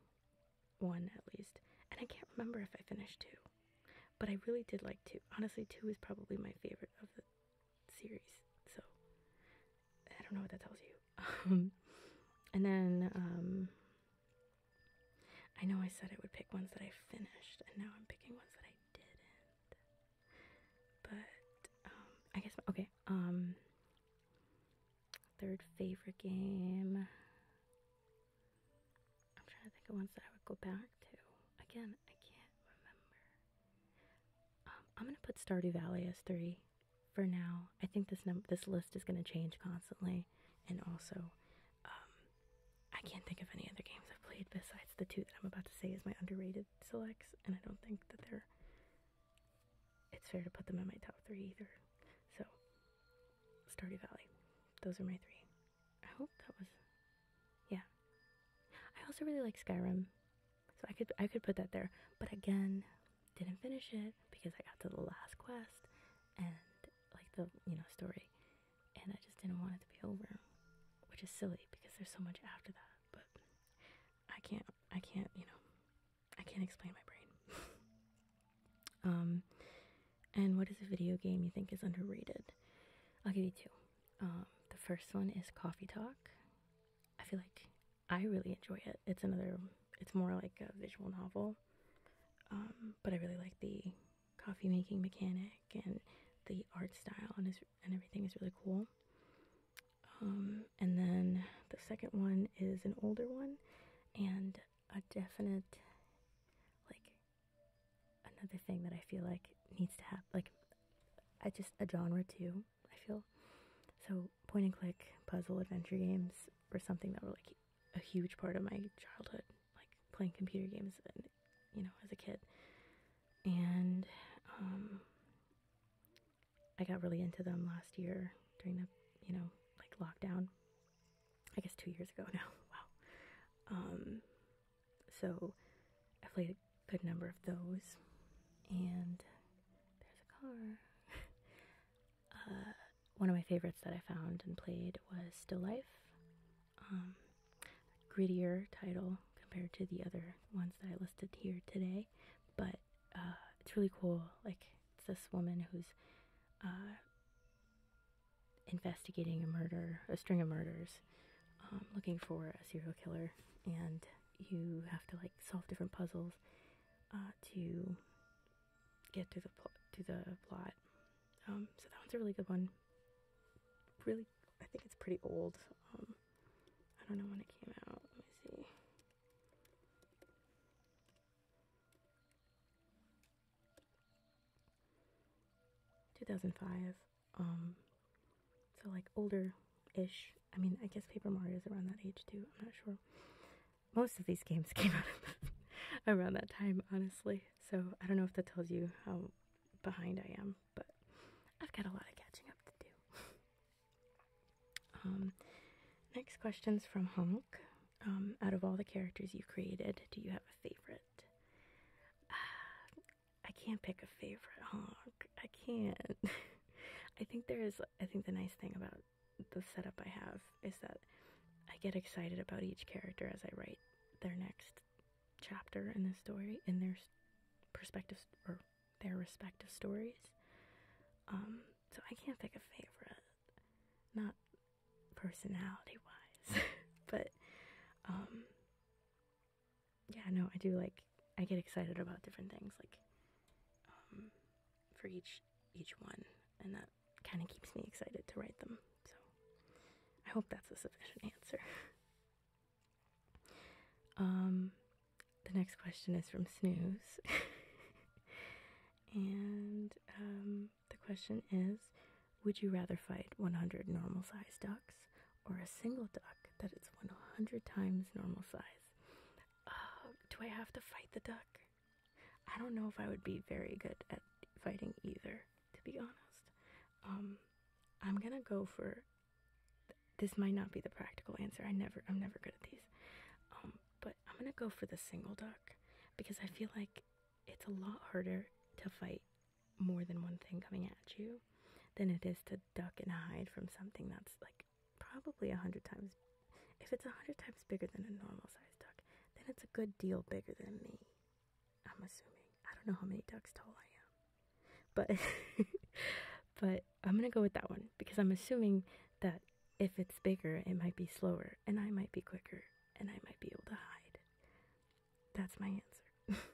one at least and i can't remember if i finished two but i really did like two honestly two is probably my favorite of the series so i don't know what that tells you um, and then um, i know i said i would pick ones that i finished and now i'm picking ones that i didn't but um, i guess okay Third favorite game. I'm trying to think of ones that I would go back to. Again, I can't remember. Um, I'm gonna put Stardew Valley as three for now. I think this num this list is gonna change constantly, and also, um, I can't think of any other games I've played besides the two that I'm about to say is my underrated selects, and I don't think that they're it's fair to put them in my top three either. So, Stardew Valley. Those are my three. I hope that was, yeah. I also really like Skyrim, so I could I could put that there. But again, didn't finish it because I got to the last quest and like the you know story, and I just didn't want it to be over, which is silly because there's so much after that. But I can't I can't you know I can't explain my brain. um, and what is a video game you think is underrated? I'll give you two. Um, the first one is Coffee Talk. I feel like I really enjoy it. It's another. It's more like a visual novel, um, but I really like the coffee making mechanic and the art style and is, and everything is really cool. Um, and then the second one is an older one and a definite like another thing that I feel like needs to happen like I just a genre too I feel so point and click puzzle adventure games or something that were like a huge part of my childhood like playing computer games you know as a kid and um, I got really into them last year during the, you know, like lockdown. I guess two years ago now. Wow. Um, so I played a good number of those. And there's a car. Uh, one of my favorites that I found and played was Still Life. Um, grittier title compared to the other ones that I listed here today, but uh, it's really cool. Like it's this woman who's uh, investigating a murder, a string of murders, um, looking for a serial killer, and you have to like solve different puzzles uh, to get through the to the plot. Um, so that one's a really good one. Really, I think it's pretty old. Um, I don't know when it came out. Let me see. 2005. Um, so like older ish. I mean, I guess Paper Mario is around that age too. I'm not sure. Most of these games came out around that time, honestly. So I don't know if that tells you how behind I am, but I've got a lot of catching up to do. Um, next question is from Honk. Um, out of all the characters you've created, do you have a favorite? I can't pick a favorite, Honk. I can't. I think there is, I think the nice thing about the setup I have is that I get excited about each character as I write their next chapter in the story, in their perspective or their respective stories. Um, so I can't pick a favorite, not personality wise, but um, yeah, no, I do like I get excited about different things like um, for each each one, and that kind of keeps me excited to write them. So I hope that's a sufficient answer. Um, the next question is from Snooze. and um, the question is Would you rather fight 100 normal sized ducks or a single duck that is 100 times normal size? Uh, do I have to fight the duck? I don't know if I would be very good at fighting either, to be honest. Um, I'm gonna go for. This might not be the practical answer. I never, I'm never good at these. Um, but I'm gonna go for the single duck because I feel like it's a lot harder to fight more than one thing coming at you than it is to duck and hide from something that's like probably a hundred times. If it's a hundred times bigger than a normal sized duck, then it's a good deal bigger than me. I'm assuming. I don't know how many ducks tall I am, but but I'm gonna go with that one because I'm assuming that if it's bigger, it might be slower, and I might be quicker, and I might be able to hide. That's my answer.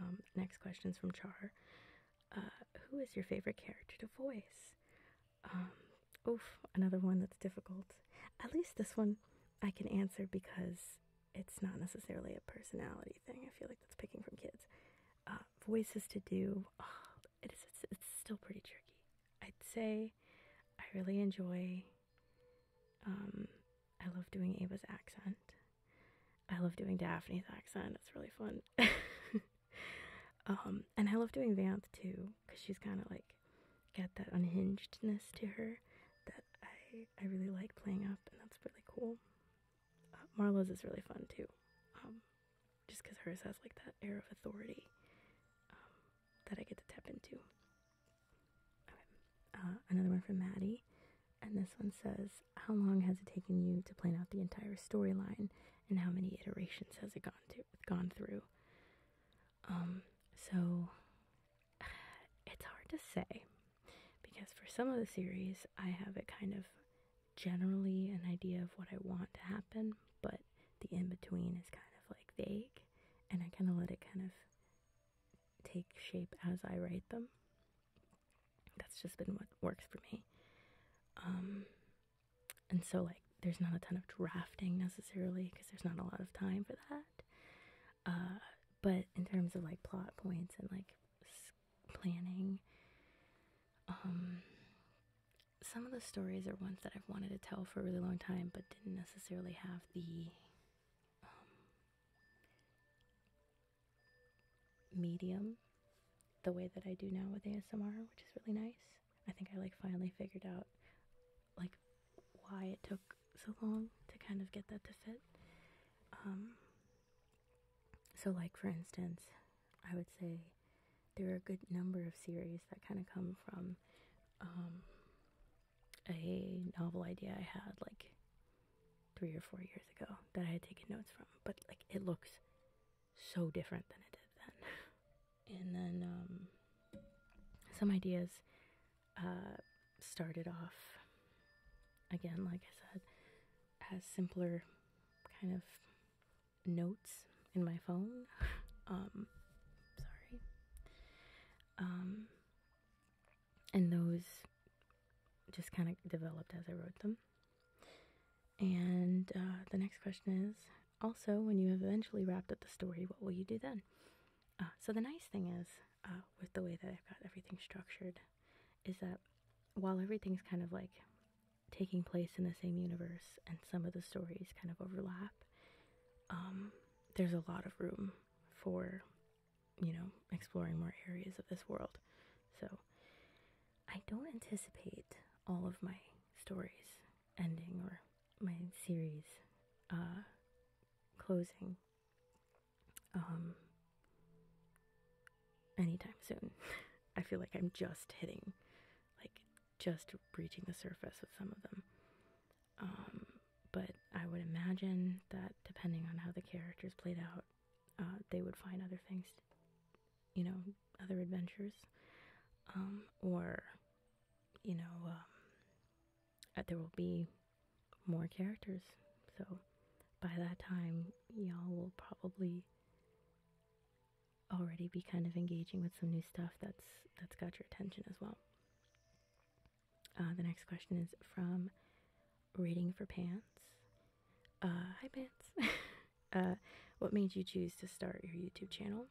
Um, next question is from Char. Uh, who is your favorite character to voice? Um, oof, another one that's difficult. At least this one I can answer because it's not necessarily a personality thing. I feel like that's picking from kids. Uh, voices to do. It is. It's, still pretty tricky. I'd say I really enjoy. Um, I love doing Ava's accent. I love doing Daphne's accent. It's really fun. um, and I love doing Vanth too, because she's kind of like got that unhingedness to her that I I really like playing up, and that's really cool. Uh, Marlowe's is really fun too. Um, just because hers has like that air of authority um, that I get to tap into. Uh, another one from Maddie, and this one says, "How long has it taken you to plan out the entire storyline, and how many iterations has it gone to gone through?" Um, so it's hard to say because for some of the series, I have it kind of generally an idea of what I want to happen, but the in between is kind of like vague, and I kind of let it kind of take shape as I write them. That's just been what works for me. Um, and so, like, there's not a ton of drafting necessarily because there's not a lot of time for that. Uh, but in terms of like plot points and like planning, um, some of the stories are ones that I've wanted to tell for a really long time, but didn't necessarily have the um, medium the way that I do now with ASMR, which is really nice. I think I like finally figured out like why it took so long to kind of get that to fit. Um, so, like for instance, I would say there are a good number of series that kind of come from um, a novel idea I had like three or four years ago that I had taken notes from, but like it looks so different than it did then. And then um, some ideas uh, started off again, like I said, as simpler kind of notes in my phone. um, sorry. Um, and those just kind of developed as I wrote them. And uh, the next question is also, when you have eventually wrapped up the story, what will you do then? Uh, so, the nice thing is, uh, with the way that I've got everything structured, is that while everything's kind of like taking place in the same universe and some of the stories kind of overlap, um, there's a lot of room for, you know, exploring more areas of this world. So I don't anticipate all of my stories ending or my series uh, closing um, anytime soon. I feel like I'm just hitting like just reaching the surface with some of them. Um, but I would imagine that depending on how the characters played out, uh, they would find other things, you know, other adventures, um, or, you know, um, there will be more characters. So by that time, y'all will probably already be kind of engaging with some new stuff that's that's got your attention as well. Uh, the next question is from Reading for Pants. Uh, hi, Pants. Uh, what made you choose to start your YouTube channel?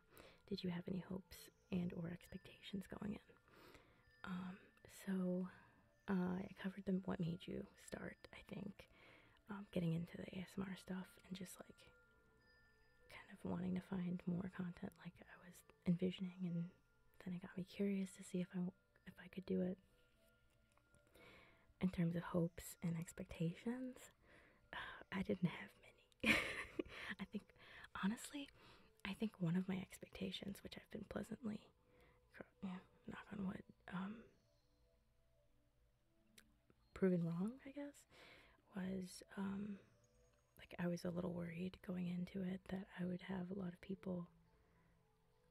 Did you have any hopes and or expectations going in? Um, so I covered them. What made you start? I think um, getting into the ASMR stuff and just like kind of wanting to find more content like I was envisioning, and then it got me curious to see if I if I could do it in terms of hopes and expectations. Uh, I didn't have many. I think honestly, I think one of my expectations, which I've been pleasantly, yeah, knock on what proven wrong, I guess, was um, like I was a little worried going into it that I would have a lot of people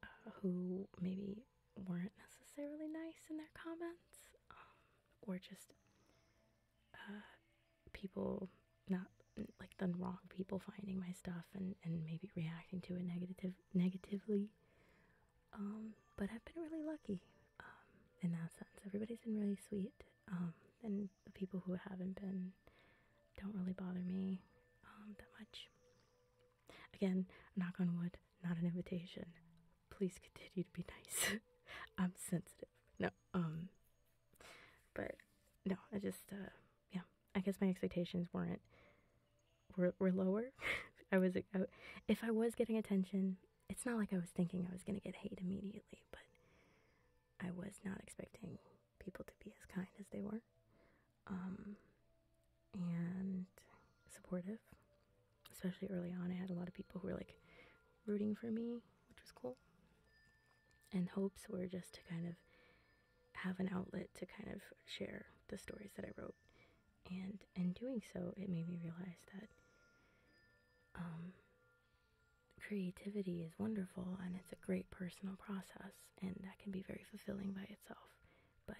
uh, who maybe weren't necessarily nice in their comments um, or just uh, people not like the wrong people finding my stuff and, and maybe reacting to it negative negatively um, but I've been really lucky um, in that sense. Everybody's been really sweet, um, and the people who haven't been don't really bother me um, that much. Again, knock on wood, not an invitation. Please continue to be nice. I'm sensitive. No, um, but no, I just, uh, yeah, I guess my expectations weren't, were, lower. I was, uh, if I was getting attention, it's not like I was thinking I was going to get hate immediately, but I was not expecting people to be as kind as they were um, and supportive, especially early on. I had a lot of people who were like rooting for me, which was cool. And hopes were just to kind of have an outlet to kind of share the stories that I wrote. And in doing so, it made me realize that um, creativity is wonderful and it's a great personal process, and that can be very fulfilling by itself. But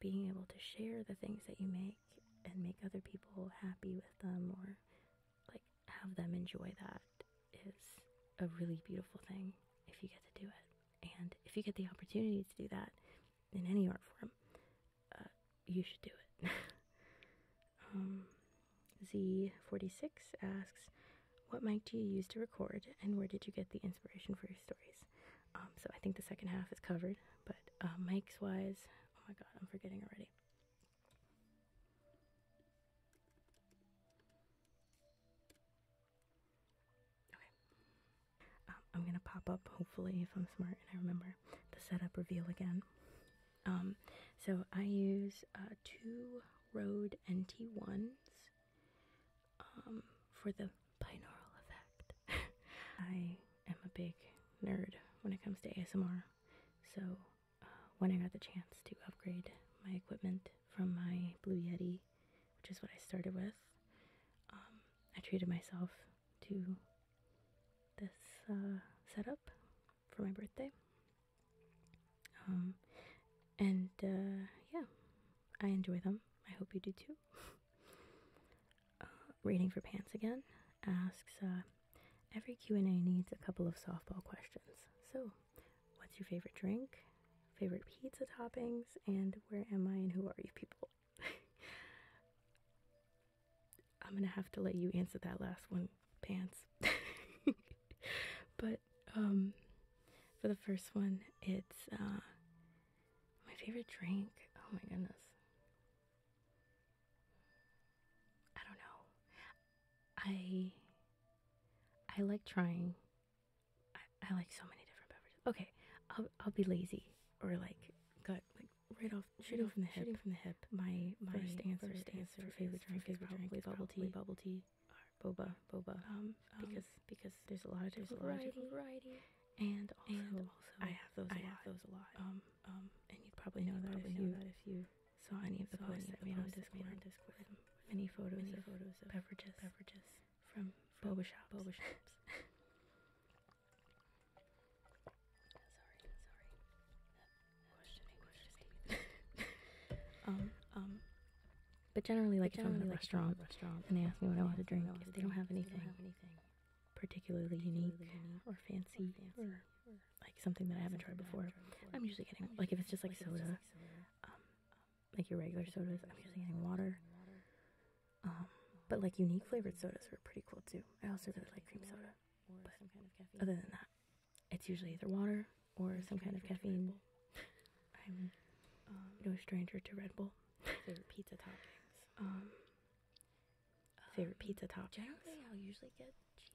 being able to share the things that you make and make other people happy with them or like have them enjoy that is a really beautiful thing if you get to do it. And if you get the opportunity to do that in any art form, uh, you should do it. Um, Z46 asks, What mic do you use to record, and where did you get the inspiration for your stories? Um, so I think the second half is covered, but uh, mics wise, oh my god, I'm forgetting already. Okay. Um, I'm gonna pop up, hopefully, if I'm smart and I remember the setup reveal again. Um, so I use uh, two Rode NT1s um, for the binaural effect. I am a big nerd when it comes to ASMR, so uh, when I got the chance to upgrade my equipment from my Blue Yeti, which is what I started with, um, I treated myself to this uh, setup for my birthday. Um, and uh, yeah, I enjoy them. I hope you do too. uh, for Pants again asks uh, every Q and A needs a couple of softball questions. So, what's your favorite drink? Favorite pizza toppings? And where am I and who are you people? I'm gonna have to let you answer that last one, pants. but um, for the first one, it's uh, my favorite drink. Oh my goodness. I don't know. I I like trying. I, like so many different beverages. Okay, I'll I'll be lazy or like gut like right off, straight off from the hip, from the hip. My my first answer, first answer for favorite drink, favorite drink is bubble tea, bubble tea, or boba, boba. Um, um, because because there's a lot of there's a lot of variety. And also, I have those. I have those a lot. Um, um, and you probably know that if you saw any of the posts that made on Discord. On Discord. Many photos, many of photos of beverages, beverages from boba shops, boba shops. um, um. But generally, like if I'm in a restaurant, and they ask me what I want to drink, if they, don't have anything, particularly unique, or fancy, like something that I haven't tried before, I'm usually getting like if it's just like, soda, like um, like your regular sodas, I'm usually getting water. Um, but like unique flavored sodas are pretty cool too. I also really like cream soda. Other than that, it's usually either water or some kind of caffeine. I'm um, no stranger to Red Bull. Favorite pizza toppings. Um, favorite um, pizza toppings. Generally, I'll usually get cheese.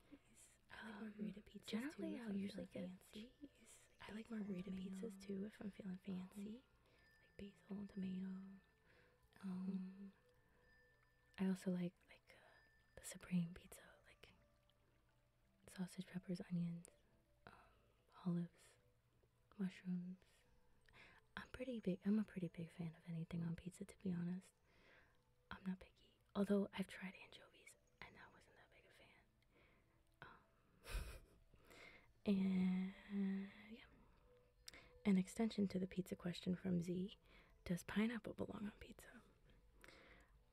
I like margarita pizzas generally, I'll usually get cheese. I like margarita pizzas too if I'm feeling fancy, uh-huh. like basil and tomato. Um, I also like like uh, the supreme pizza, like sausage, peppers, onions, um, olives, mushrooms. I'm pretty big. I'm a pretty big fan of anything on pizza, to be honest. I'm not picky. Although I've tried anchovies, and I wasn't that big a fan. Um, and yeah, an extension to the pizza question from Z Does pineapple belong on pizza?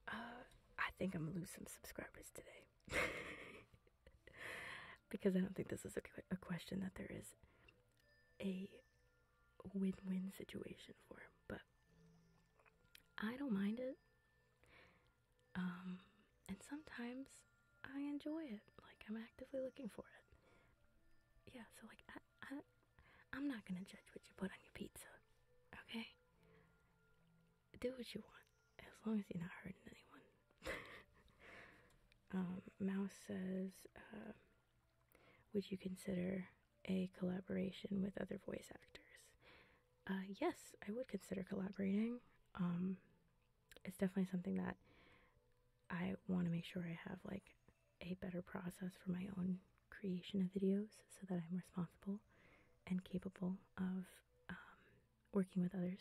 Uh, I think I'm gonna lose some subscribers today. because I don't think this is a, question that there is a win win situation for. But I don't mind it. Um, and sometimes I enjoy it. Like, I'm actively looking for it. Yeah, so, like, I, I'm not gonna judge what you put on your pizza, okay? Do what you want, as long as you're not hurting anyone. Um, Mouse says, um, would you consider a collaboration with other voice actors? Uh, yes, I would consider collaborating. Um, it's definitely something that I want to make sure I have like a better process for my own creation of videos so that I'm responsible and capable of um, working with others.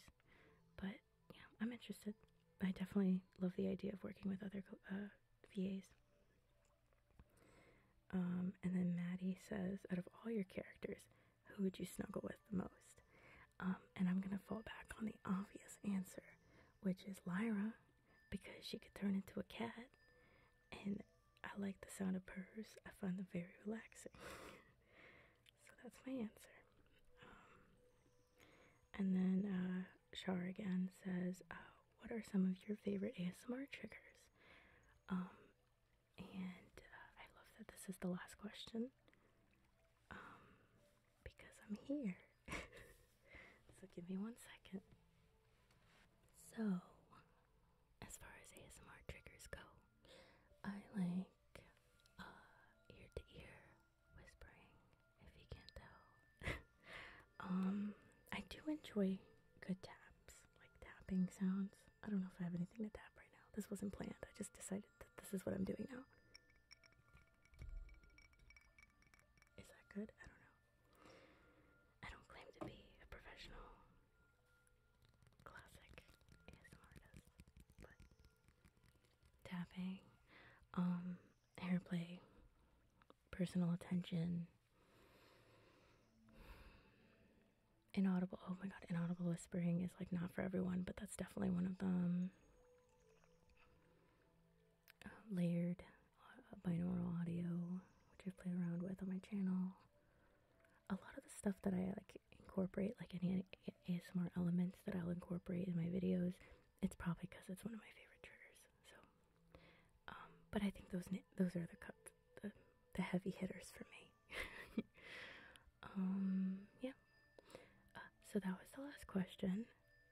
But yeah, I'm interested. I definitely love the idea of working with other uh, VAs. Um, and then Maddie says, out of all your characters, who would you snuggle with the most? Um, and I'm going to fall back on the obvious answer, which is Lyra because she could turn into a cat, and I like the sound of purrs. I find them very relaxing. so that's my answer. Um, and then uh, Shar again says, uh, "What are some of your favorite ASMR triggers?" Um, and uh, I love that this is the last question um, because I'm here. so give me one second. So, as far as ASMR triggers go, I like uh, ear to ear whispering, if you can't tell. um, I do enjoy good taps, like tapping sounds. I don't know if I have anything to tap right now. This wasn't planned, I just decided that this is what I'm doing now. Is that good? I don't know. I don't claim to be a professional classic ASMR but tapping, um, play, personal attention, inaudible. Oh my god, inaudible whispering is like not for everyone, but that's definitely one of them. Um, layered uh, binaural audio, which i play around with on my channel. A lot of the stuff that I like incorporate, like any ASMR elements that I'll incorporate in my videos, it's probably because it's one of my favorite triggers. So, um, but I think those those are the cut the, heavy hitters for me. Um, yeah. Uh, so that was the last question.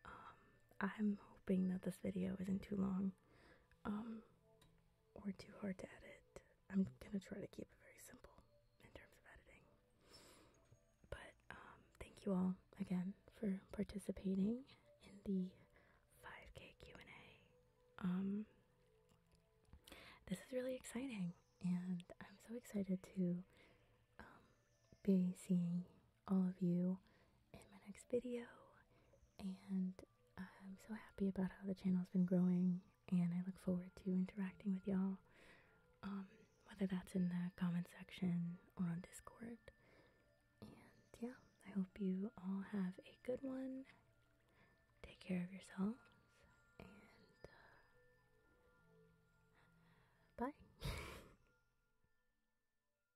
Um, I'm hoping that this video isn't too long um, or too hard to edit. I'm gonna try to keep it very simple in terms of editing. But um, thank you all again for participating in the 5 k Q&A. this is really exciting, and I'm so excited to be seeing all of you in my next video. And I'm so happy about how the channel's been growing, and I look forward to interacting with y'all. Um, whether that's in the comment section or on Discord. And yeah, I hope you all have a good one. Take care of yourselves, and uh, bye.